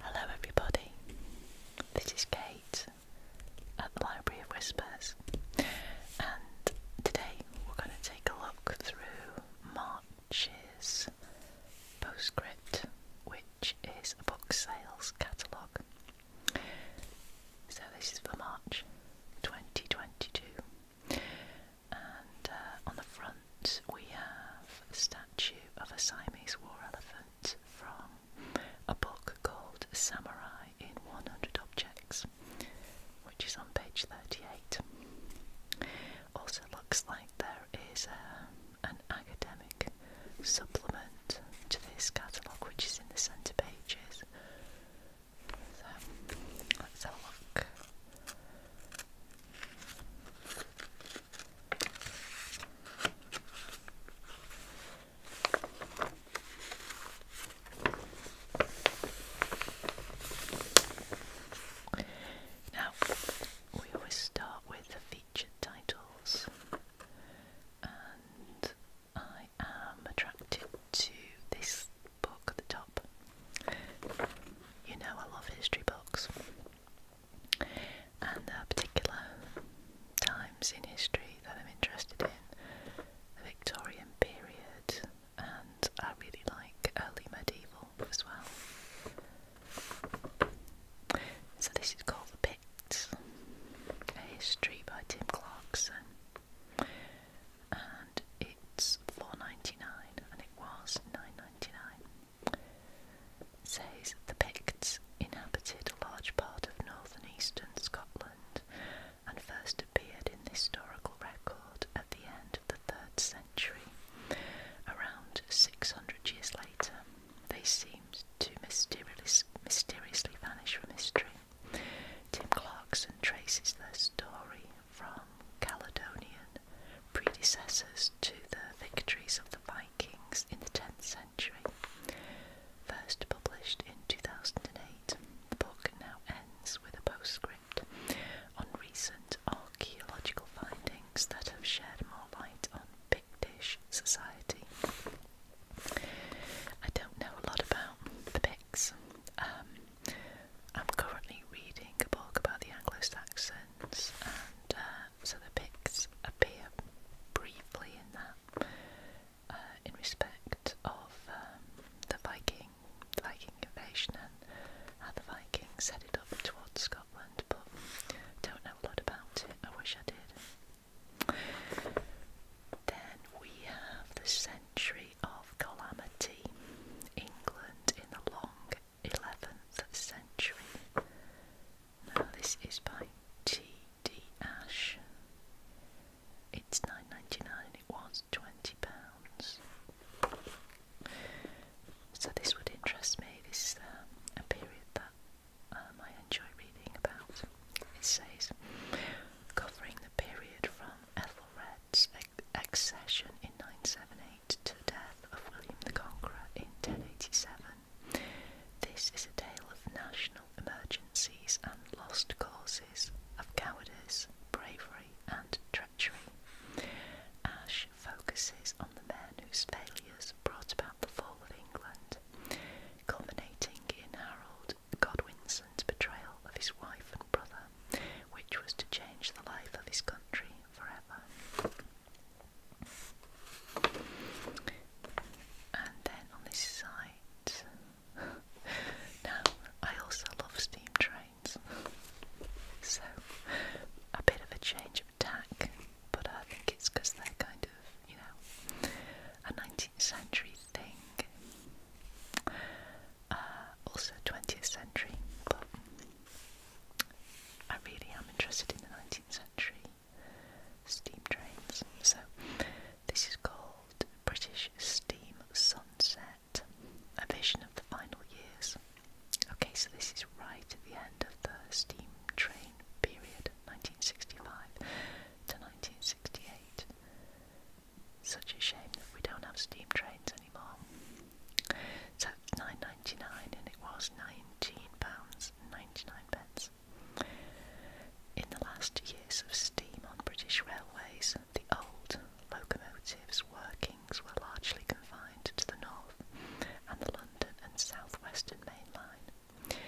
Hello, everybody. This is Kate at the Library of Whispers, and today we're going to take a look through March's postscript, which is a book sales catalogue. So, this is for March 2022. And uh, on the front, we have a statue of a Siamese war elephant from a book called Samurai in 100 Objects, which is on page 38. Also, looks like there is um, an academic supplement to this catalogue, which is in the centre pages. So, let's have a look now, we always start with the featured titles, and I am attracted to this book at the top. You know, I love history books and the particular times in history that I'm interested in, the Victorian period, and I really like early medieval as well. So this is called The Picts, a history by Tim Clarkson, and it's 4.99 and it was 9.99 says the Picts inhabited a large part of north and eastern Scotland and first appeared in the historical record at the end of the 3rd century. Around 600 years later, they seemed to mysteriously, mysteriously vanish from history. Tim Clarkson traces their story from Caledonian predecessors to the victories of the Vikings in the 10th century. First published in 2008, the book now ends with a postscript on recent archaeological findings that have shed more light on Pictish society. I don't know a lot about the Picts. Um, I'm currently reading a book about the Anglo Saxon and uh, so the pics appear briefly in that, uh, in respect of um, the Viking, the Viking invasion and how the Vikings set it up towards Scotland, but don't know a lot about it. I wish I did. Then we have the century of calamity, England in the long 11th century. Now, this is by T.D. Ash. It's nine ninety nine. It was twenty pounds. So this would interest me. This is um, a period that um, I enjoy reading about. It says, covering the period from Ethelred's accession in nine seventy to the death of William the Conqueror in 1087. This is a tale of national emergencies and lost causes, of cowardice, bravery, and treachery. Ash focuses on the men whose failures brought about the fall of England, culminating in Harold Godwinson's betrayal of his wife and brother, which was to change the life of his country forever. And then on this side, now I also love steam trains, so a bit of a change of tack, but I think it's because they're kind of, you know, a 19th century thing. Uh, also 20th century, I really am interested in the 19th century steam trains. So, this is called British Steam Sunset A Vision of the Final Years. Okay, so this is right at the end of the steam train period, 1965 to 1968. Such a shame that we don't have steam trains anymore. So nine ninety nine, and it was nineteen pounds ninety nine pence. In the last years of steam on British railways, the old locomotives' workings were largely confined to the north and the London and South Western Main Line.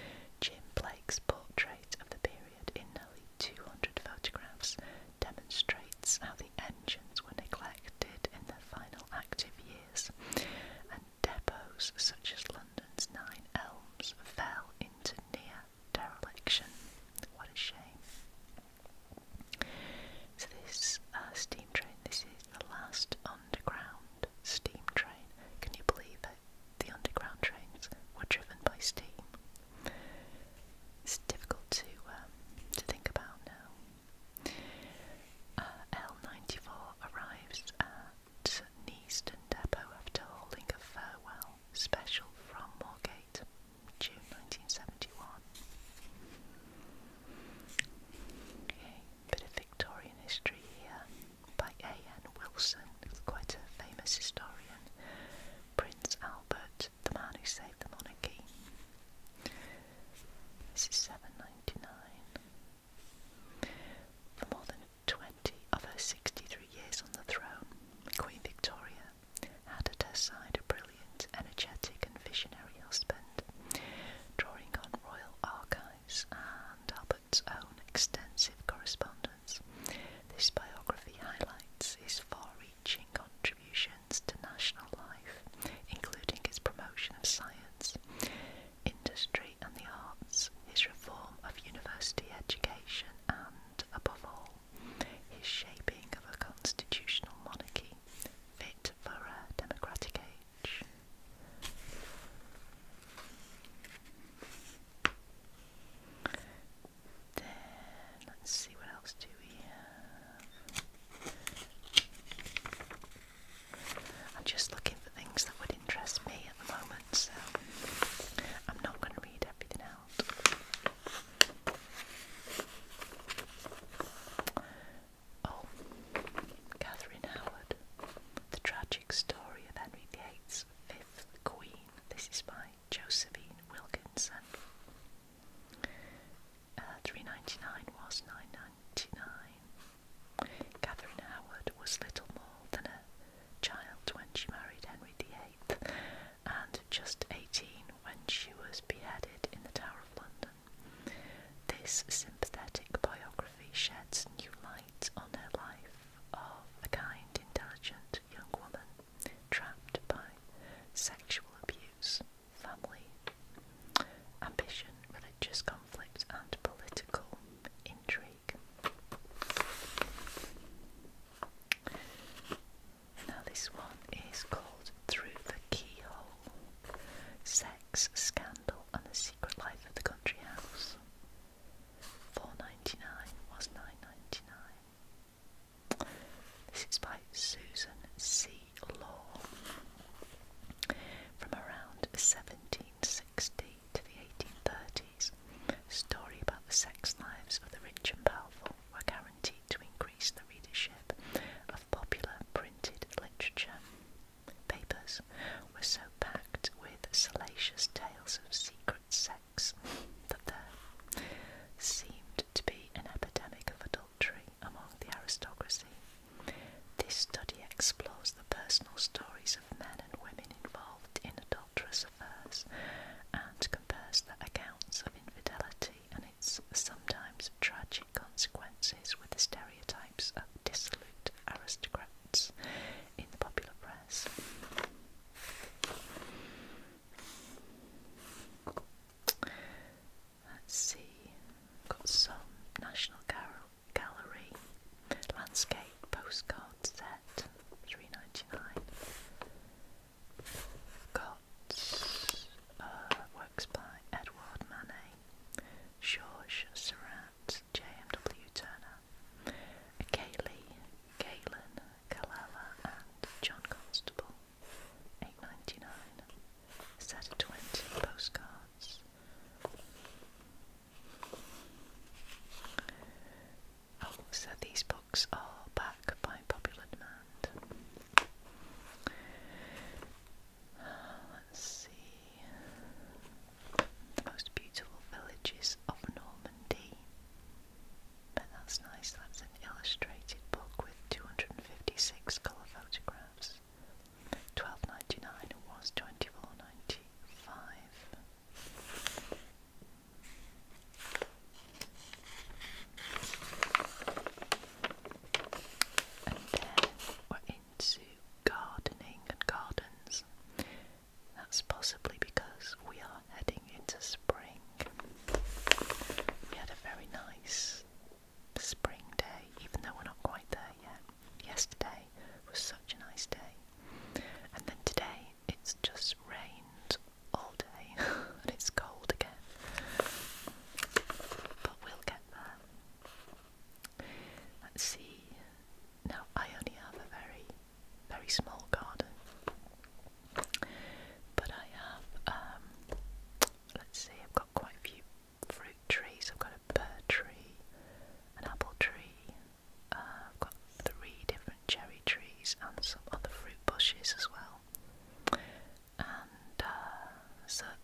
Jim Blake's portrait of the period in nearly 200 photographs demonstrates how the engines were neglected in their final active years years, and depots such as London's Nine Elms fell into near dereliction. What a shame. So, this uh, steam train, this is the last underground steam train. Can you believe it? The underground trains were driven by steam. It's difficult to um, to think about now. Uh, L94 arrives at Neaston Depot after holding a farewell special from Moorgate, June 1971. bit of Victorian history here by A.N. Wilson, quite a famous historian. Prince Albert, the man who saved the monarchy. This is 799. For more than 20 of her 63 years on the throne, Queen Victoria had at her side a brilliant, energetic, and visionary husband, drawing on royal archives and Albert's own extensive correspondence. This biography highlights his far reaching contributions to national life, including his promotion of science, industry and the arts, his reform of university education, and, above all, his shaping of a constitutional monarchy fit for a democratic age. Then, let's see what else do we have. I'm just looking for things that would interest me at the moment, so I'm not going to read everything out. Oh, Catherine Howard, The Tragic Story of Henry VIII's Fifth Queen. This is by Josephine Wilkinson. Uh, 399 was 999. Catherine Howard was little more than a child when she married Henry VIII and just 18 when she was beheaded in the Tower of London. This sympathetic biography sheds new light on her life of a kind, intelligent young woman trapped by sexual abuse, family, ambition, religious conflict, and political intrigue. Now, this one is called Through the Keyhole Sex, Scandal, and the Secret Life of the Country House. Four ninety nine was nine ninety nine. This is by Susan C. Law from around 17 1760 to the 1830s, story about the sex lives of the rich and powerful were guaranteed to increase the readership of popular printed literature. Papers were so packed with salacious tales of secret sex that there seemed to be an epidemic of adultery among the aristocracy. This study explores the personal stories of men and women involved in adulterous affairs and compares the accounts of infidelity and its sometimes tragic consequences with the stereotypes of dissolute aristocrats in the popular press. Let's see, got some national carols. Gallery landscape postcard set, three ninety nine. Got uh, works by Edward Manet, Georges Seurat, J.M.W. Turner, Cayley, Galen, Kalala, and John Constable. Eight ninety nine. Set of twenty postcards. Oh, so these books are back by popular demand. let's see. The most beautiful villages of Normandy. that's nice. That's an illustrated book with 256 colour photographs twelve ninety nine was twenty four ninety five. And then we're into gardening and gardens. That's possibly because we are heading into spring. We had a very nice spring day, even though we're not quite there yet. Yesterday was such a nice day, and then today it's just rained all day and it's cold again. But we'll get there. Let's see. Now, I only have a very, very small garden, but I have, um, let's see, I've got quite a few fruit trees. I've got a pear tree, an apple tree. Uh, I've got three different cherry trees and some other fruit bushes as well, and uh,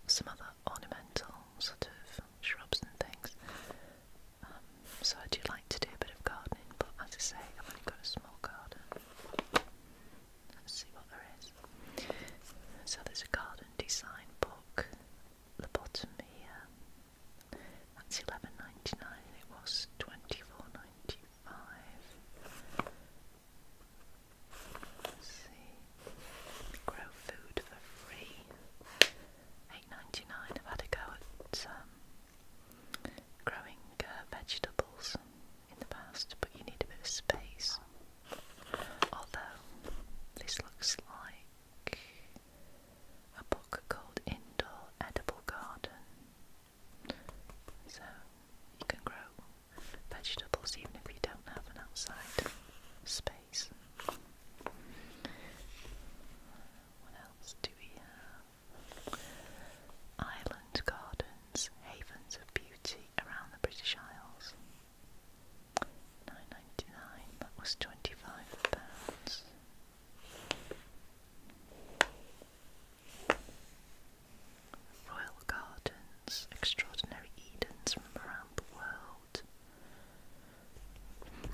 some other ornamental sort of shrubs and things. Um, so I do like to do a bit of gardening, but as I say, I've only got a small garden. Let's see what there is. So there's a garden design book the bottom here. That's eleven ninety nine. It was twenty four ninety five. Let's see, grow food for free. Eight ninety nine. I've had a go at um, growing uh, vegetables in the past, but you need a bit of space. Although this looks like a book called Indoor Edible Garden. So you can grow vegetables even if you don't have an outside space. What else do we have? Island gardens, havens of beauty around the British Isles nine ninety nine. That was twenty five pounds. Royal Gardens, Extraordinary Edens from around the world.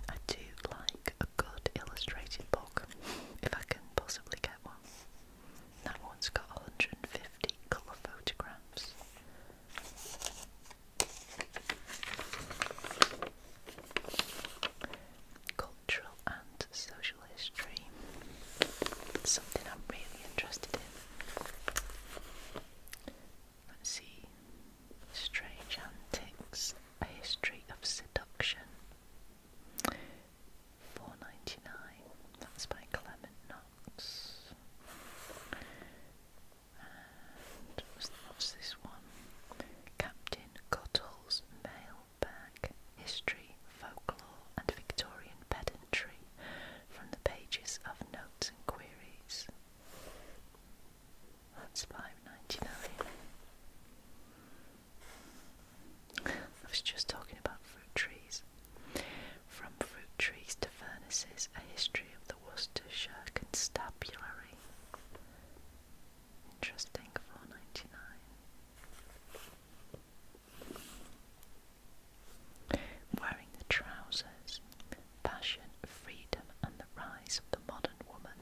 I do like a good illustrated book, if I can possibly get one. That one's got 150 colour photographs Cultural and social history. Something I'm really interested in. Let's see. Strange Antics, A History of Seduction. Four ninety nine. That's by Clement Knox. And what's this one? Captain Cottle's mailbag History, Folklore, and Victorian Pedantry from the pages of Notes and Queries. That's five ninety nine. I was just talking about fruit trees. From fruit trees to furnaces, a history of the Worcestershire constabulary. Interesting, four ninety nine. Wearing the trousers, fashion, freedom, and the rise of the modern woman.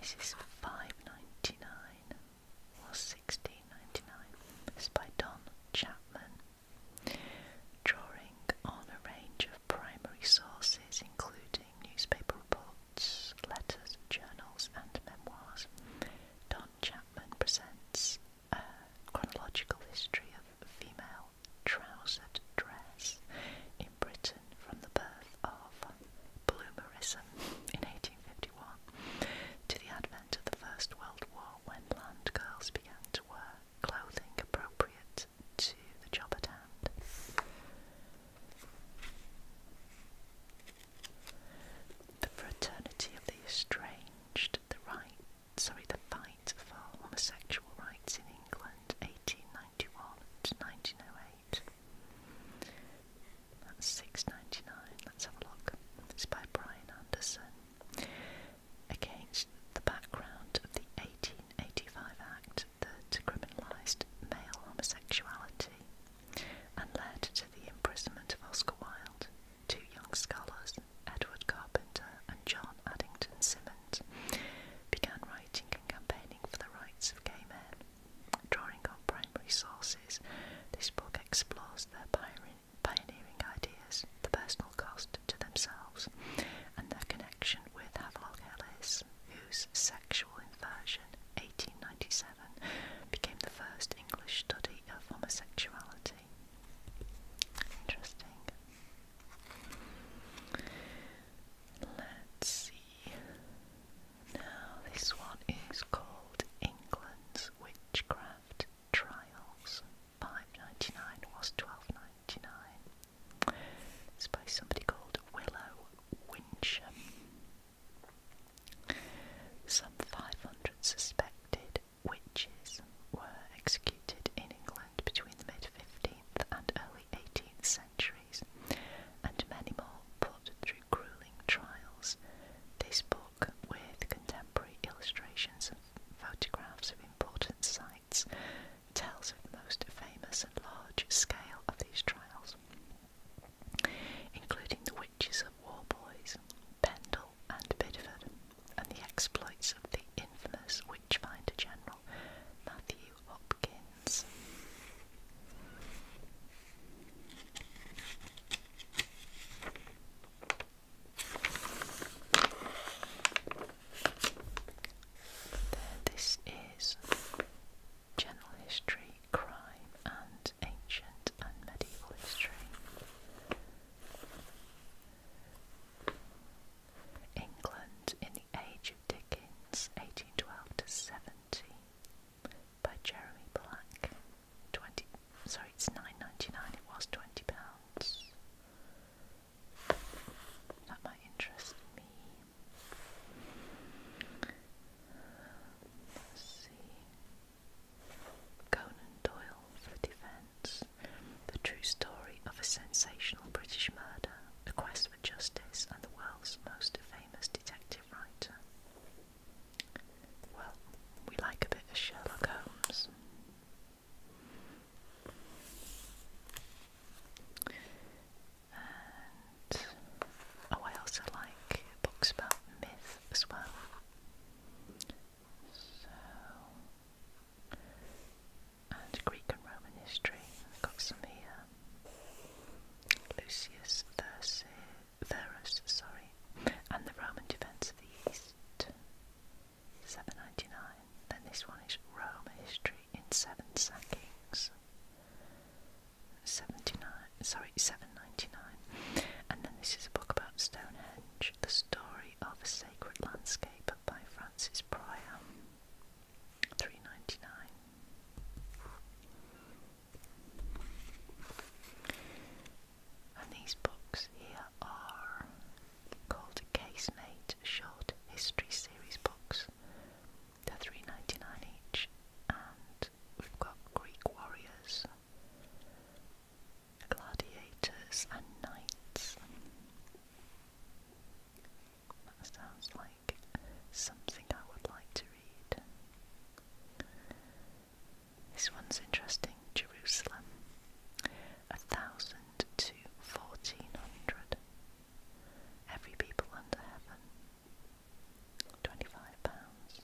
This is five ninety nine or sixteen ninety nine. It's by Don Chapman drawing on a range of primary sources including newspaper reports, letters, journals and memoirs. Don Chapman presents a chronological history of female trouser dress in Britain from the birth of bloomerism in 1851 to the advent of the First World War when land girls began to wear clothing appropriate to the job at hand. The fraternity of the estranged, the right, sorry, the fight for homosexual rights in England, 1891 to 1908. That's 6.99. Let's have a look. It's by Brian Anderson against the background of the 1885 Act that criminalised male homosexuality and led to the imprisonment of Oscar Wilde, two young scholars, Edward Carpenter and John Addington Symonds, began writing and campaigning for the rights of gay men. Drawing on primary sources, this book explores their pioneering ideas, the personal cost to themselves and their connection with Havelock Ellis, whose Sexual Inversion 1897 became the first English study of homosexuality. Interesting. Let's see. Now, this one is called England's Witchcraft Trials. Five ninety nine was twelve ninety nine. It's by somebody called Willow Winsham. Some 500 suspected witches were executed in England between the mid 15th and early 18th centuries, and many more put through grueling trials. This book, with contemporary illustrations and photographs of important sites tells of the most famous and large scale of these trials, including the witches of Warboys, Pendle, and Bideford, and the exploits of the infamous witchfinder general Matthew Hopkins. There, this is general history, crime, and ancient and medieval history. England in the Age of Dickens, 1812 to 70, by Jeremy Black. 20, sorry, it's 9.99. It was twenty pounds. That might interest me. Let's see. Conan Doyle for Defence. The true story of a sensational British murder, the quest for justice, and the world's most famous detective writer. Well, we like a bit of Sherlock Holmes oh, I also like books about myth as well. So, and Greek and Roman history. I've got some here. Lucius Verus, sorry, and the Roman Defence of the East. 799. Then this one is Rome History in seven sackings. 79 sorry 799 and then this is a book about Stonehenge the story of a sacred landscape by Francis Pryor 399 and these books here are called Casemate short history series books. They're three ninety nine each, and we've got Greek warriors, gladiators, and knights. That sounds like something I would like to read. This one's interesting. Jerusalem, a thousand to fourteen hundred. Every people under heaven. Twenty-five pounds.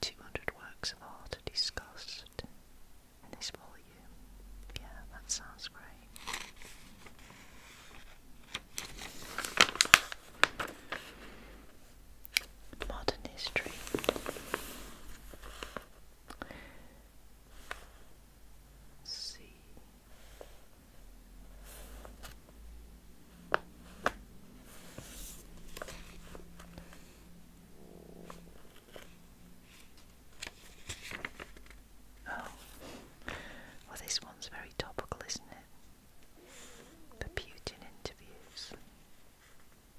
Two hundred works of art are discussed in this volume. Yeah, that sounds great. Modern history see. Oh, well, this one's very topical, isn't it? Putin interviews,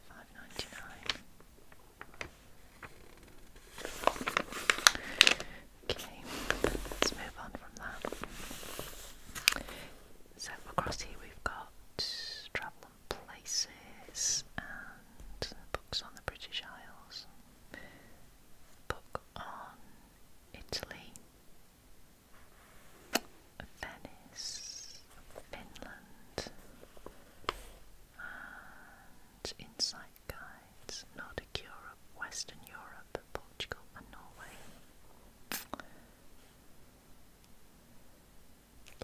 five ninety nine. Okay, let's move on from that. So across here we've got travel and places and books on the British Isles. Book on Italy, Venice, Finland, and insight guides, Nordic Europe, Western Europe, Portugal, and Norway.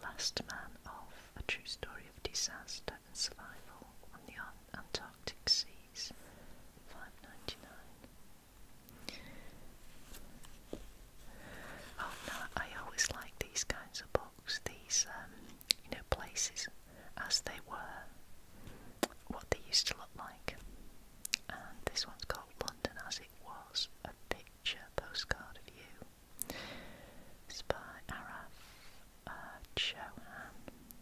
Last Man Off, a true story of disaster and survival on the Antarctic Seas, five ninety nine. Oh no, I always like these kinds of books. These um, you know, places as they were, what they used to look like. And this one's called London as it was, a picture postcard of you. It's by Araf uh,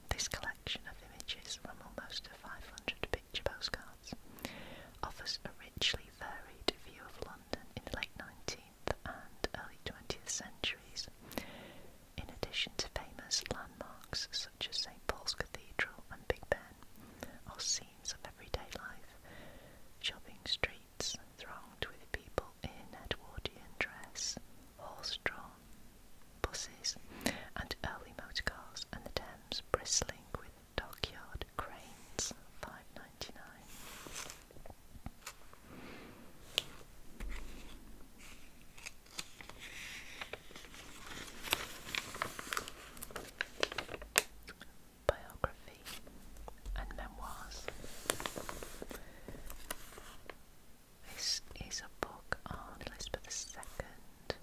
This collection of images from almost 500 picture postcards offers a richly varied view of London in the late 19th and early 20th centuries, in addition to famous landmarks such as St. Paul's Cathedral and Big Ben, are scenes of everyday life, shopping streets thronged with people in Edwardian dress, horse-drawn buses, and early motorcars, and the Thames bristling with dockyard cranes. Five ninety nine. Biography and Memoirs. This is a book on Elizabeth II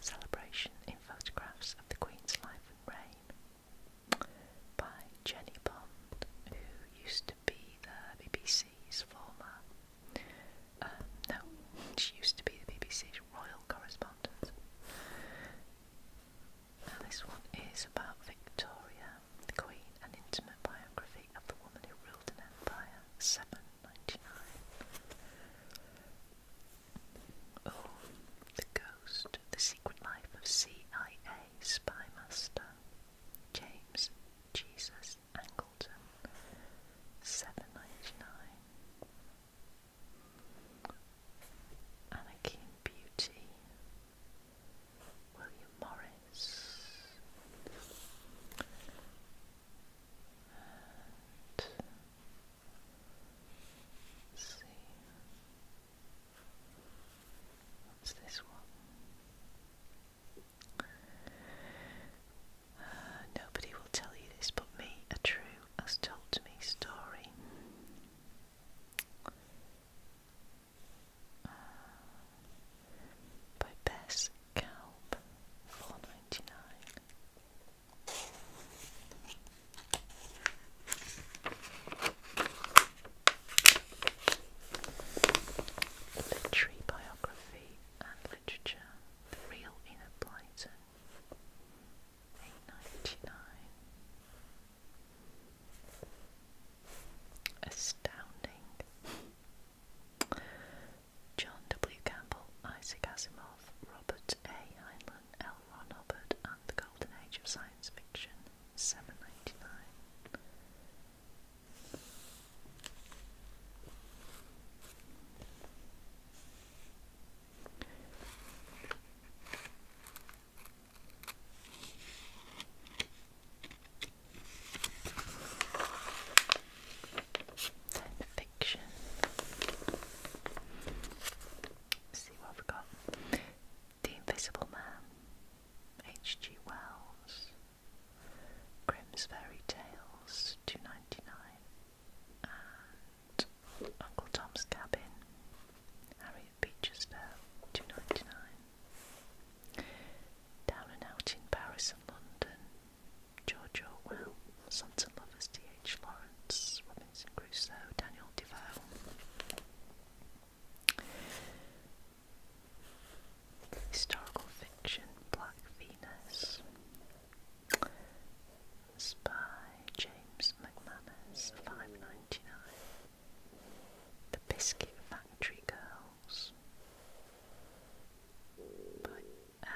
celebration in photographs of the Queen's life and reign by Jenny Bond, who used to be the BBC's former uh, no, she used to be the BBC's royal correspondent. this one is about Victoria, the Queen, an intimate biography of the woman who ruled an empire, 799. Oh, The Ghost, The Secret Life of CIA Spy Master, James Jesus is Angleton, seven ninety nine. Anarchy Beauty, William Morris, let's see, what's this one? Uh, nobody will tell you this but me, a true as told to me story. Uh, by Bess Calb, four ninety nine. Literary biography and Literature, The Real Inner Blyton, 8.99. Astounding. John W. Campbell, Isaac Asimov, Robert A. Heinlein, L. Ron Hubbard, and the Golden Age of Science Fiction, 7.99. Fiction. see what i got. The Invisible Man, H.G. Wells, Grimm's Fairy Tales, two ninety nine, and Uncle Tom's Cabin, Harriet Beecher's Tale, two ninety nine. Down and Out in Paris and London, George Orwell, Sons and Lovers, D. H. Lawrence, Robinson Crusoe, Daniel Defoe. Historical fiction, Black Venus. It's James McManus, five ninety nine. The Biscuit Factory Girls by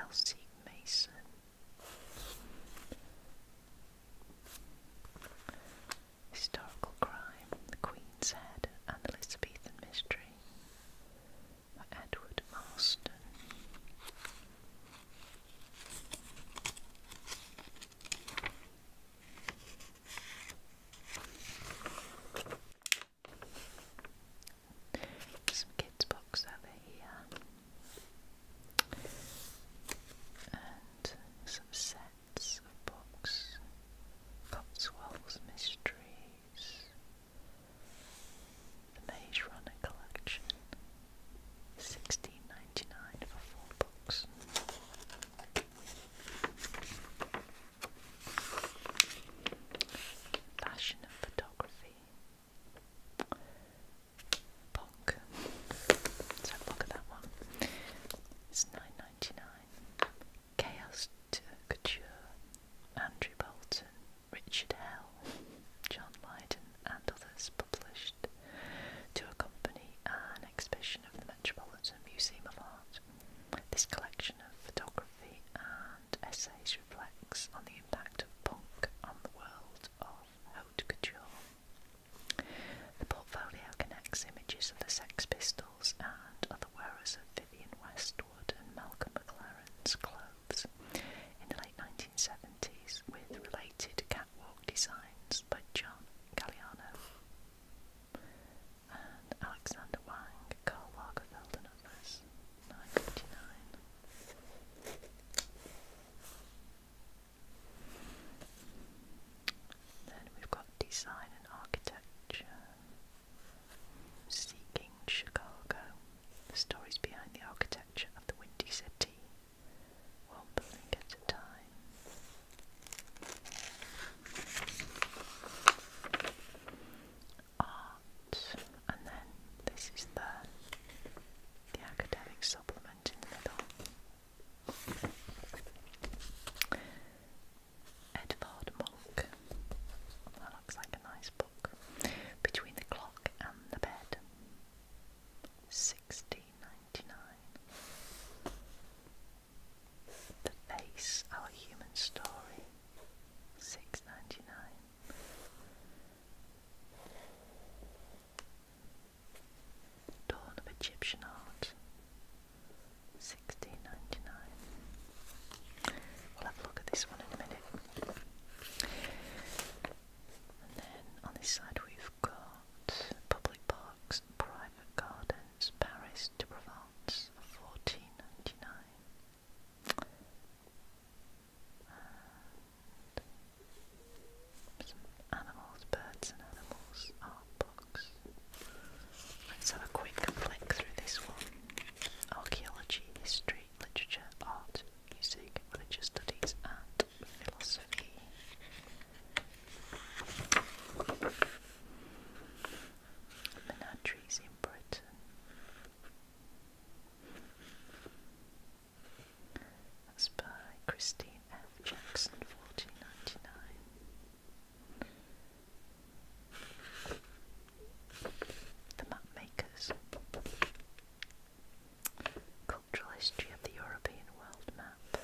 Elsie Mason. Historical Crime, The Queen's Head, and Elizabethan Mystery. Edward Marston. Some kids' books over here, and some sets of books Cotswold's Mysteries, the Maze Runner Collection, sixteen ninety nine for four books. Fashion and photography. Punk. Let's have that one. It's nine ninety nine. Chaos to Couture, Andrew Bolton, Richard Hell, John Lydon, and others published to accompany an exhibition of the Metropolitan Museum of Art. This collection of photography and essays reflects on the impact of punk on the world of haute couture. The portfolio connects images of the Sex Pistols and other wearers of Vivian West Malcolm McLaren's clothes in the late 1970s with related catwalk designs by John Galliano and Alexander Wang, Karl Lagerfeld and others, Then we've got design and architecture, Seeking Chicago, the stories behind the architecture of the Windy City, one building at a time. Art, and then this is the, the academic supplement in the middle. Edvard Munch. That looks like a nice book. Between the Clock and the Bed. Sixteen ninety nine. The Face, Our Human Story. Six ninety nine. Dawn of Egyptian Art. Sixteen ninety nine. We'll have a look at this one in a minute. And then on this side we've got public parks private gardens, Paris to Provence, fourteen ninety nine. some animals, birds and animals, art books. Let's have a quick flick through this one archaeology, history, literature, art, music, religious studies, and philosophy. Menageries in Britain. That's by Christine F. Jackson, 1499. The map makers. Cultural history of the European world map.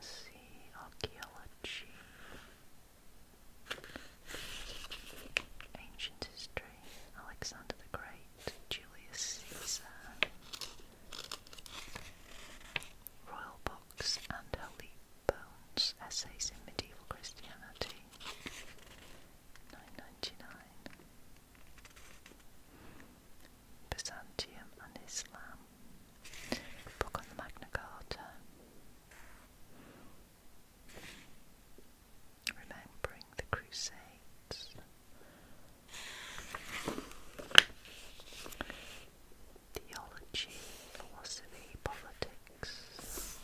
see, archaeology, ancient history. Alexander the Great, Julius Caesar, Royal Books and Holy Bones, Essays in Medieval Christianity, 999. Byzantium and Islam, Book on the Magna Carta, remembering the Crusades. Theology, philosophy, politics.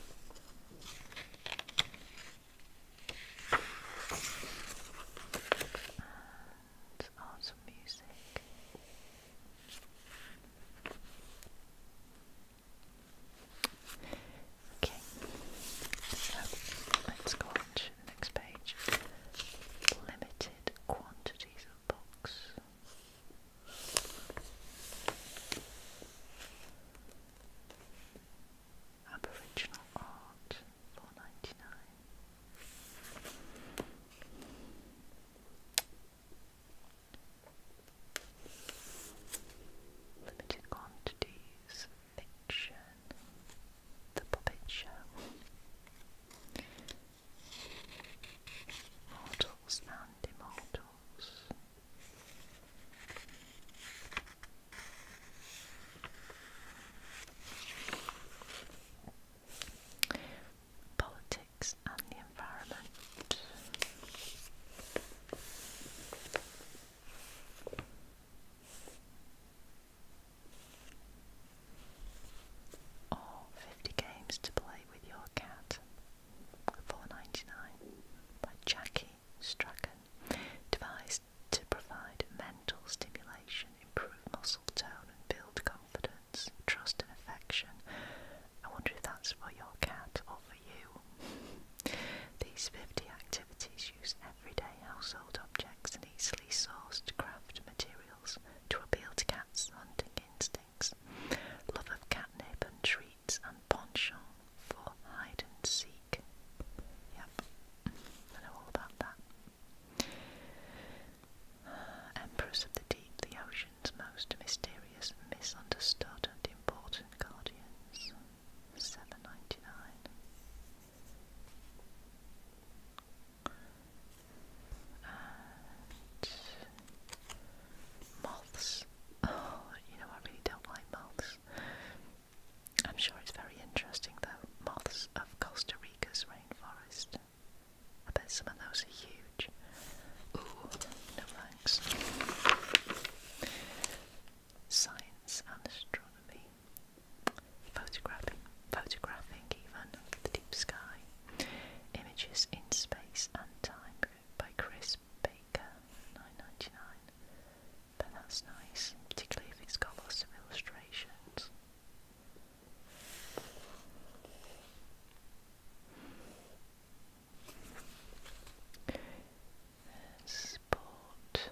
And arts music. Okay, so let's go on to the next page. Limited quantities box. Aboriginal art, four ninety nine. Limited quantities fiction, the puppet show, mortals and immortals. Politics and the environment. Or 50 Games to Play with Your Cat, 4 by Jackie Strachan, devised to provide mental stimulation, improve muscle tone, and build confidence, trust, and affection. I wonder if that's for your cat or for you. These 50 activities use everyday household objects and easily sourced craft materials to appeal to cats' hunting instincts, love of catnip and treats, and penchant for hide and seek. Yep, I know all about that. Empress of the deep, the ocean's most mysterious, misunderstood, and important guardians. Seven ninety nine moths. Oh, you know, I really don't like moths. I'm sure it's very interesting, though. Moths of Costa Rica's rainforest. I bet some of those are huge. Ooh, no thanks. Science and astronomy. Photographing, photographing even the deep sky. Images in space and time by Chris Baker, nine ninety nine. But that's nice, particularly if it's got lots of illustrations. Sport.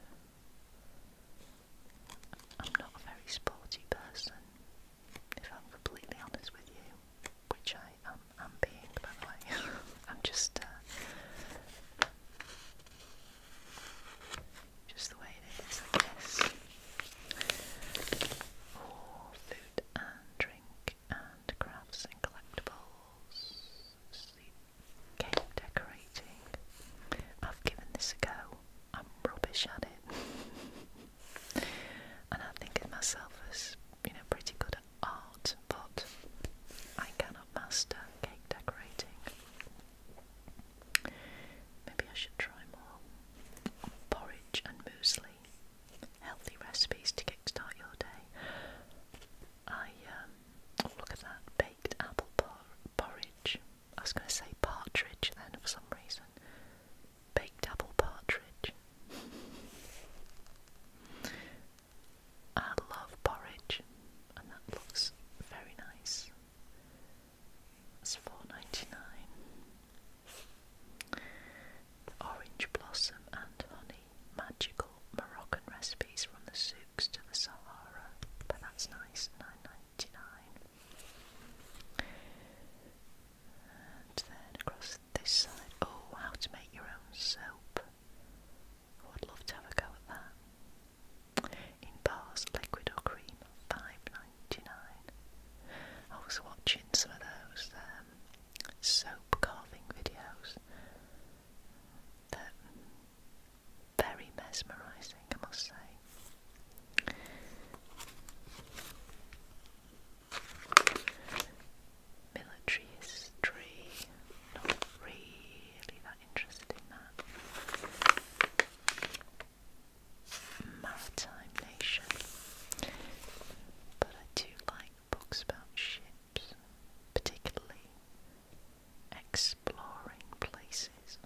I'm not a very sporty person, if I'm completely honest with you, which I am, being, by the way. I'm just, uh, just the way it is, I guess. Oh, food and drink and crafts and collectibles, cake decorating. I've given this a go. I'm rubbish at it. and I think of myself as, you know, pretty good at art, but I cannot master cake decorating. Maybe I should try more. Porridge and muesli. Healthy recipes to kickstart your day. I, um, look at that, baked apple porridge. I was going to say partridge then for some reason. Baked apple partridge. I love porridge, and that looks very nice. It's four ninety nine. Orange blossom and honey, magical Moroccan recipes from the zoo looks to the Sahara, but that's nice, nine ninety nine. And then across this side, oh, how to make your own soap. Oh, I'd love to have a go at that. In bars, liquid or cream, five ninety nine. I was watching some of those um, soap carving videos that very mesmerising, I must say. Military history, not really that interested in that. Maritime nation, but I do like books about ships, particularly exploring places.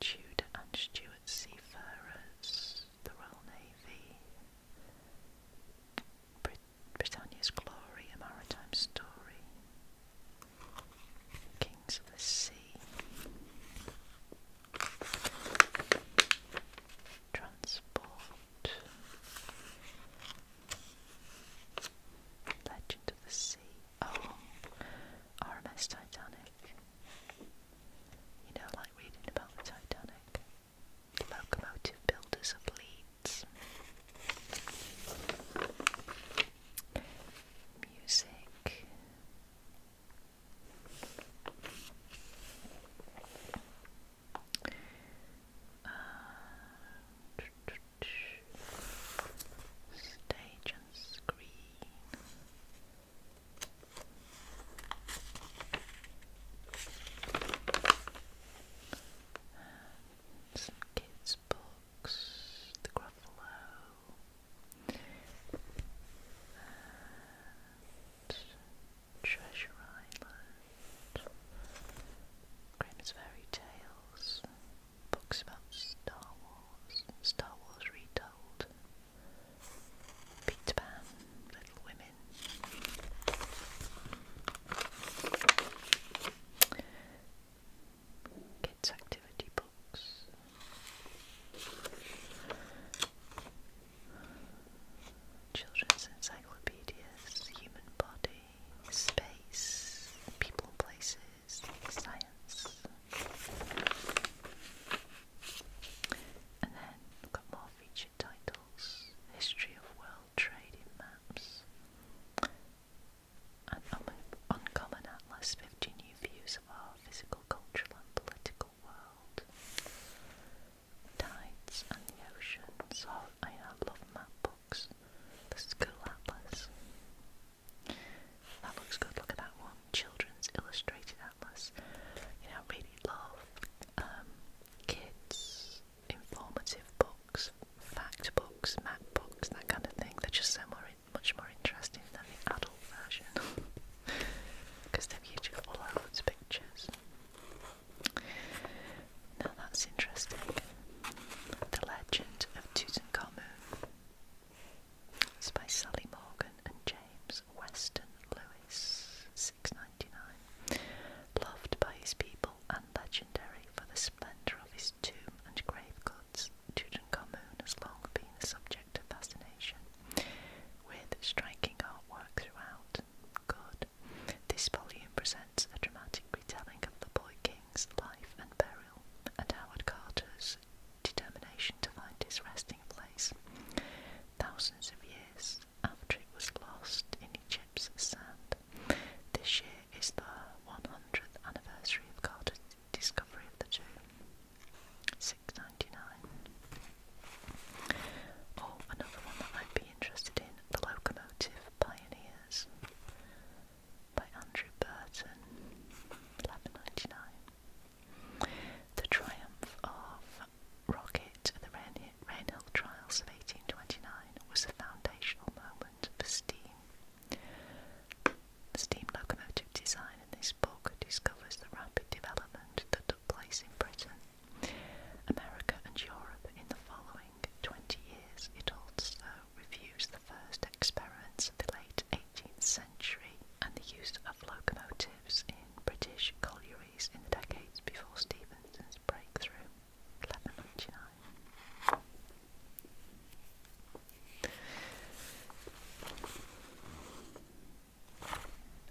Tudor and Stuart seafarers, the Royal Navy, Britannia's glory, a maritime story, Kings of the Sea, transport, Legend of the Sea. Oh, RMS Titanic. You know, like reading about the Locomotive Builders of Leeds. Music. Uh, stage and screen. some kids' books, the Gruffalo, Treasure Island, Grimm's Fairy Tales, books about Star Wars, Star Wars Retold, Peter Pan, Little Women, Kids Activity Books. Children's encyclopedias, human body, space, people, places, science. And then got more featured titles History of World Trade Maps, An Uncommon Atlas 50 New Views of Our Physical, Cultural, and Political World, Tides and the Ocean. So oh, I, I love map books, the school atlas. That looks good, look at that one. Children's Illustrated Atlas. You know, I really love um, kids' informative books, fact books, map books, that kind of thing. They're just so more, much more interesting than the adult version because they've usually got loads of pictures. Now that's interesting. The Legend of Tutankhamun. by Sally Morgan and James Weston Lewis, six ninety nine. Loved by his people and legendary for the splendour of his tomb and grave goods, Tutankhamun has long been a subject of fascination, with striking artwork throughout. Good this volume presents a dramatic retelling of the boy king's life and burial, and Howard Carter's determination to find his resting place thousands of years after it was lost in Egypt's sand. This year is the 100th anniversary of Carter's discovery of the tomb. 699. Oh, another one that I've interested in The Locomotive Pioneers by Andrew Burton, eleven ninety nine. The triumph of Rocket at the Rainhill Trials of eighteen twenty nine was a foundational moment for steam. The steam locomotive design in this book discovers the rapid development that took place in Britain, America, and Europe in the following 20 years, it also reviews the first experiments of the late 18th century and the use of locomotives in British collieries in the decades before Stephenson's breakthrough,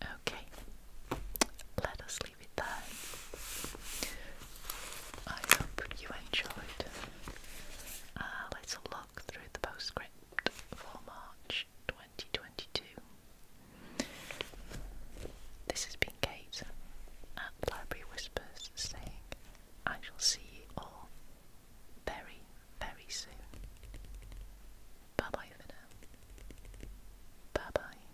Okay, let us happy I hope you enjoyed. Uh, let look through the postscript for March 2022. This has been Kate at Library Whispers saying, I shall see you all very, very soon. Bye bye for Bye bye.